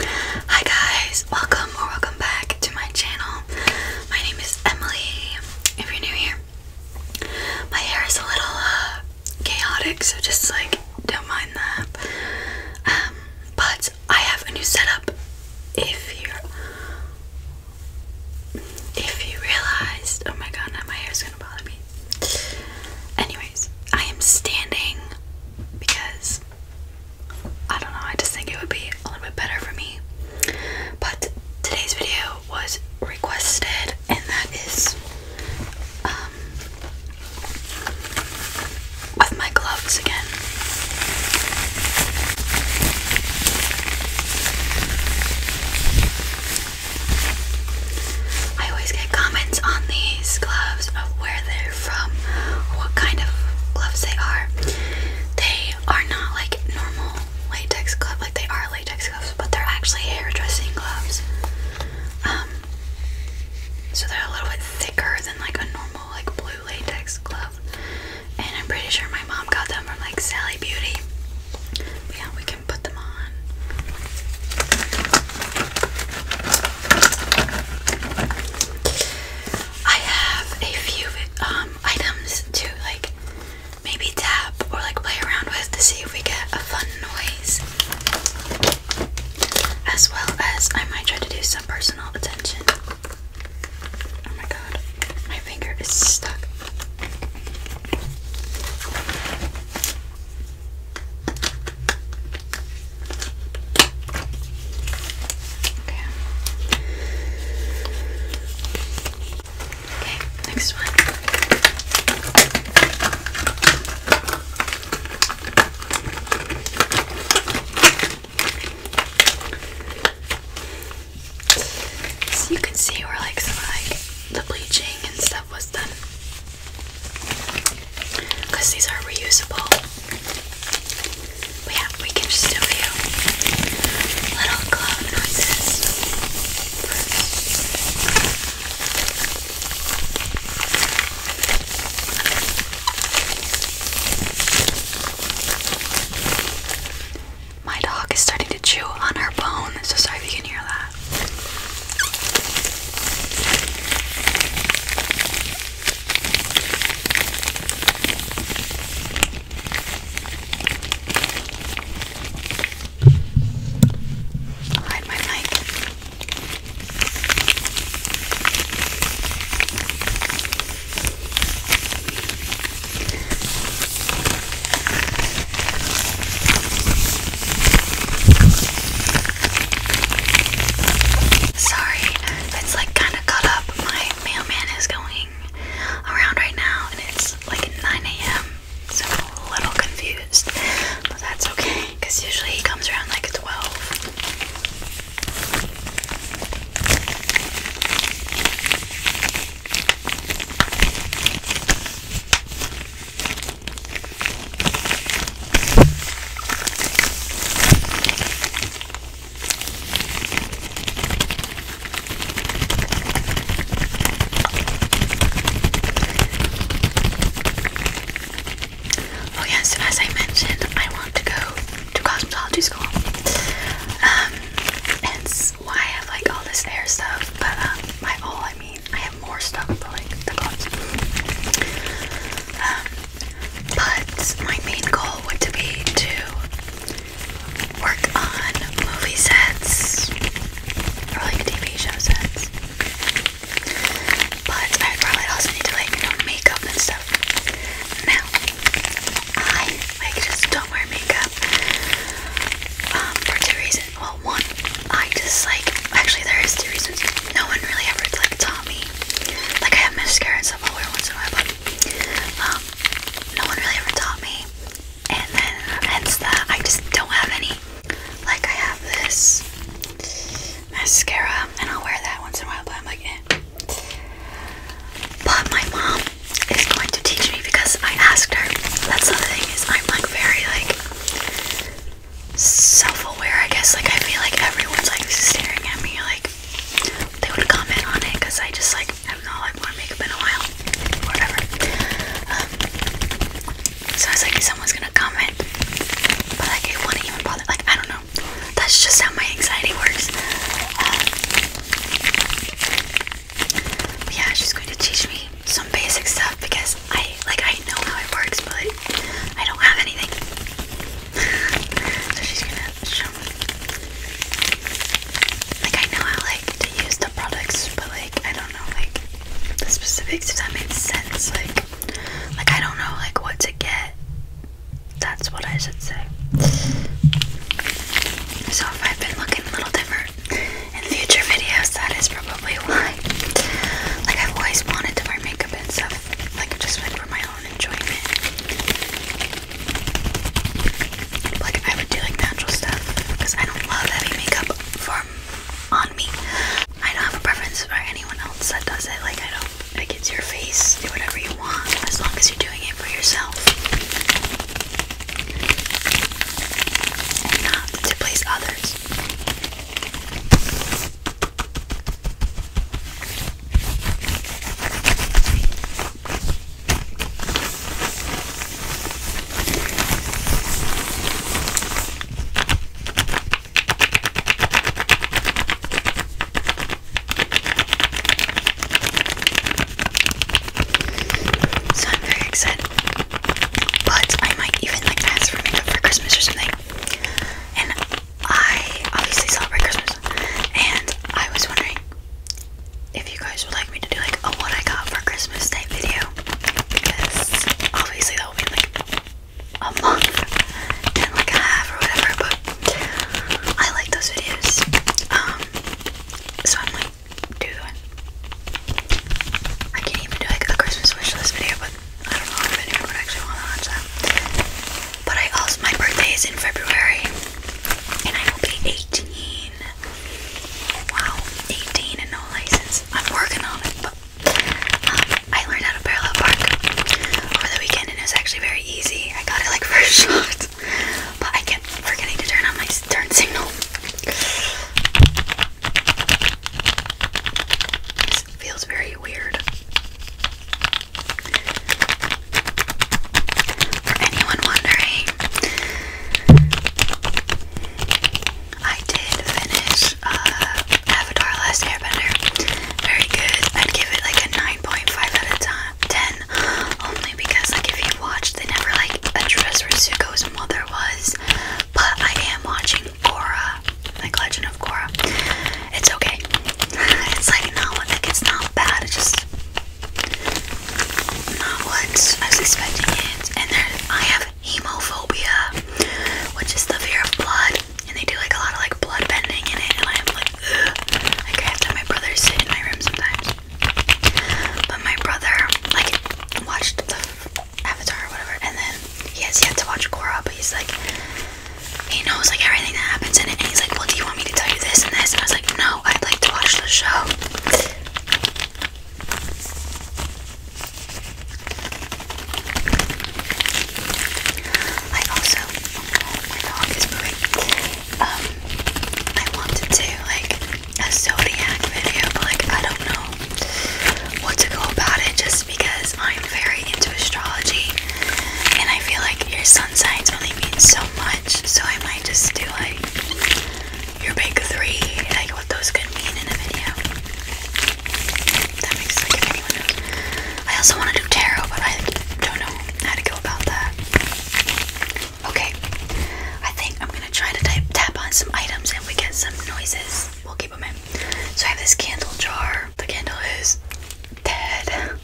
Hi guys, welcome or welcome back to my channel. My name is Emily. If you're new here, my hair is a little uh, chaotic, so just like don't mind that. Um, but I have a new setup. If you if you realized, oh my god, now my hair is gonna bother me. Anyways, I am standing because I don't know, I just think it would be a little bit better for me. But today's video was requested, and that is um, with my gloves again. I always get comments on these gloves of where they're from, what kind of gloves they are. They are not like normal latex gloves, like they are latex gloves, but they're actually hairdressing gloves. Um, so they're a little bit thicker than like a normal like blue latex glove. And I'm pretty sure my mom got them from like Sally Beauty. yeah, put them on. I have a few um, items to like maybe tap or like play around with to see if we get a fun noise. As well as I might try to do some personal attention. Oh my god, my finger is stuck. Okay. Okay, next one. So you can see we're like like the bleaching and stuff was done. Because these are reusable. yeah, we can just do a few little clown noises. My dog is starting to chew on her bone, so sorry if you can hear that. hide my mic. Sorry, it's like kind of cut up. My mailman is going around right now, and it's like 9 a.m., so I'm a little confused. But that's okay, because usually he comes around like 12. Oh yes, as I mentioned, I want to go to cosmetology school. it's um, I have like all this hair stuff, but um, by I mean I have more stuff, but like the clothes. Um, but my main goal would be to work on movie sets or like TV show sets. But I probably also need to like you makeup and stuff. Now I like, I just don't wear makeup. Um, for two reasons. Well, one, I just like, actually, there is two reasons. No one really ever like taught me. Like, I have mascara and stuff I'll wear once in a while, but um, no one really ever taught me. And then, hence that, I just don't have any. Like, I have this mascara, and I'll wear that once in a while, but I'm like, eh. But my mom is going to teach me because I asked her. That's the thing is I'm like very like self-aware, I guess. Like I feel like everyone's like staring at me like they would comment on it because I just like I am not like want makeup in a while. Whatever. Um, so I was like someone's gonna comment. But like it wouldn't even bother like I don't know. That's just how my anxiety works. Um, yeah, she's going to teach me some basic stuff because I like I know how it works, but I don't have anything. so she's gonna show me. Like I know how like to use the products, but like I don't know like the specifics. If that makes sense, like like I don't know like what to get. That's what I should say. So if I've been looking a little different in future videos, that is probably why. Like I've always wanted to wear makeup and stuff, like just like for my own enjoyment. Like I would do like natural stuff because I don't love heavy makeup for on me. I don't have a preference for anyone else that does it. Like I don't. Like it's your face. Do whatever you want as long as you're doing it for yourself and to please others. So I'm very excited. But I might even like ask for makeup for Christmas or something. And I obviously celebrate Christmas. And I was wondering if you guys would like me to do like a what I got for Christmas type video. Because obviously that will be like a month and like a half or whatever, but I like those videos. Um so I'm like, do I can't even do like a Christmas wish list video, but I don't know if anyone would actually want to watch that. But I also my birthday is in February, and I will be 18. Wow, 18 and no license. I'm working on it, but um, I learned how to parallel park over the weekend, and it was actually very easy. I got it like first shot. But I kept forgetting to turn on my turn signal. feels very weird. For anyone wondering, I did finish uh, Avatar Last Airbender. Very good. I'd give it like a 9.5 out of 10 only because like if you watch they never like address where Zuko's mother was. But I am watching Korra, like Legend of Korra. It's okay. It's like not it's not bad. It's just not what I was expecting it. And then I have hemophobia, which is the fear of blood. And they do like a lot of like blood bending in it, and I'm like I have to have my brother sit in my room sometimes. But my brother, like, watched the Avatar whatever, and then he has yet to watch Korra, but he's like, he knows like everything that happens in it, and he's like, well, do you want me to tell you this and this? And I was like, no, I'd like to watch the show. I also, oh, my dog is moving um, I wanted to like a zodiac video, but like I don't know what to go about it just because I'm very into astrology and I feel like your sun signs only mean so much, so I might just do like your big three, like what those could mean in a video. That makes like if anyone knows. I also want to do tarot, but I don't know how to go about that. Okay, I think I'm gonna try to tap on some items and we get some noises. We'll keep them in. So I have this candle jar. The candle is dead.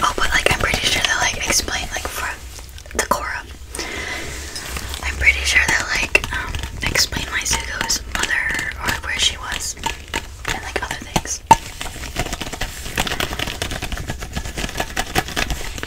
Oh, but like I'm pretty sure that like explain like for the Cora. I'm pretty sure that like um, explain my Zuko's mother or where she was and like other things.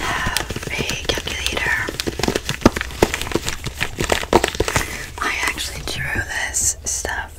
have a calculator. I actually drew this stuff.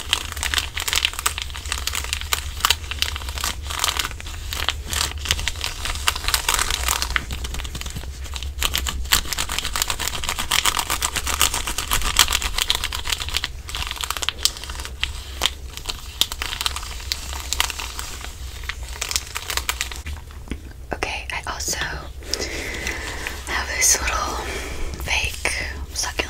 Okay, I also have this little fake succulent.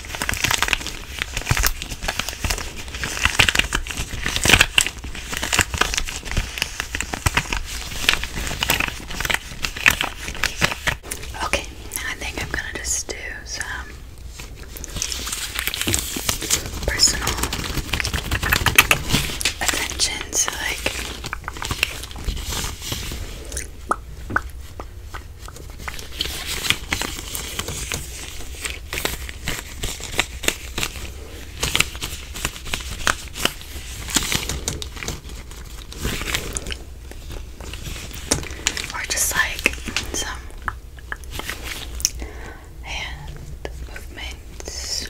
Okay, I think I'm gonna just do some personal attention, to like or just like some hand movements.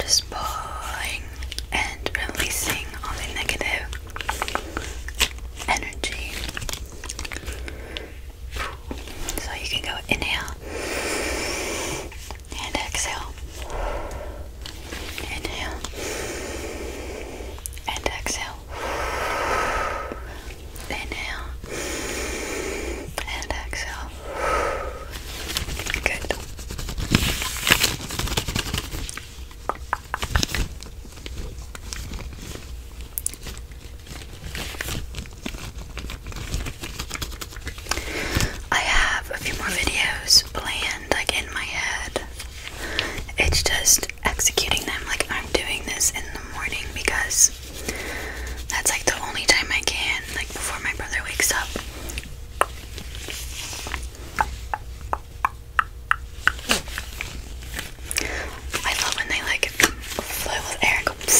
Just pulling and releasing all the negative energy. So you can go inhale and exhale. Inhale and exhale. Inhale and exhale. Good. I have a few more videos planned, like in my head. It's just executing them. Like, I'm doing this in the morning because that's like the only time I can, like, before my brother wakes up. I love when they like flow with air. It's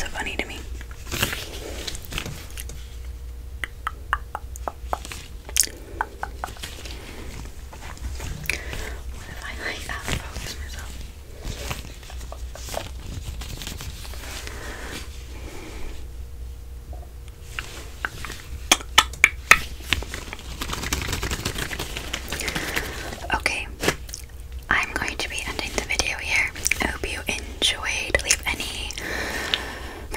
so funny to me. What if I like that focus myself? Okay, I'm going to be ending the video here. I hope you enjoyed. Leave any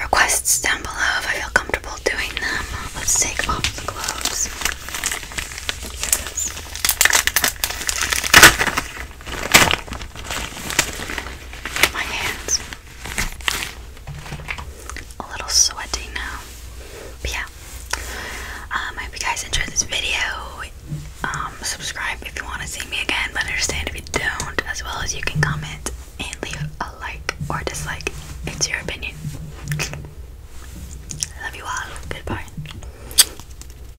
requests down below if I feel comfortable doing them. Let's take off the gloves. My hands a little sweaty now. yeah. Um, I hope you guys enjoyed this video. Um, subscribe if you want to see me again, but understand if you don't, as well as you can comment and leave a like or dislike. It's your opinion. Love you all. Goodbye.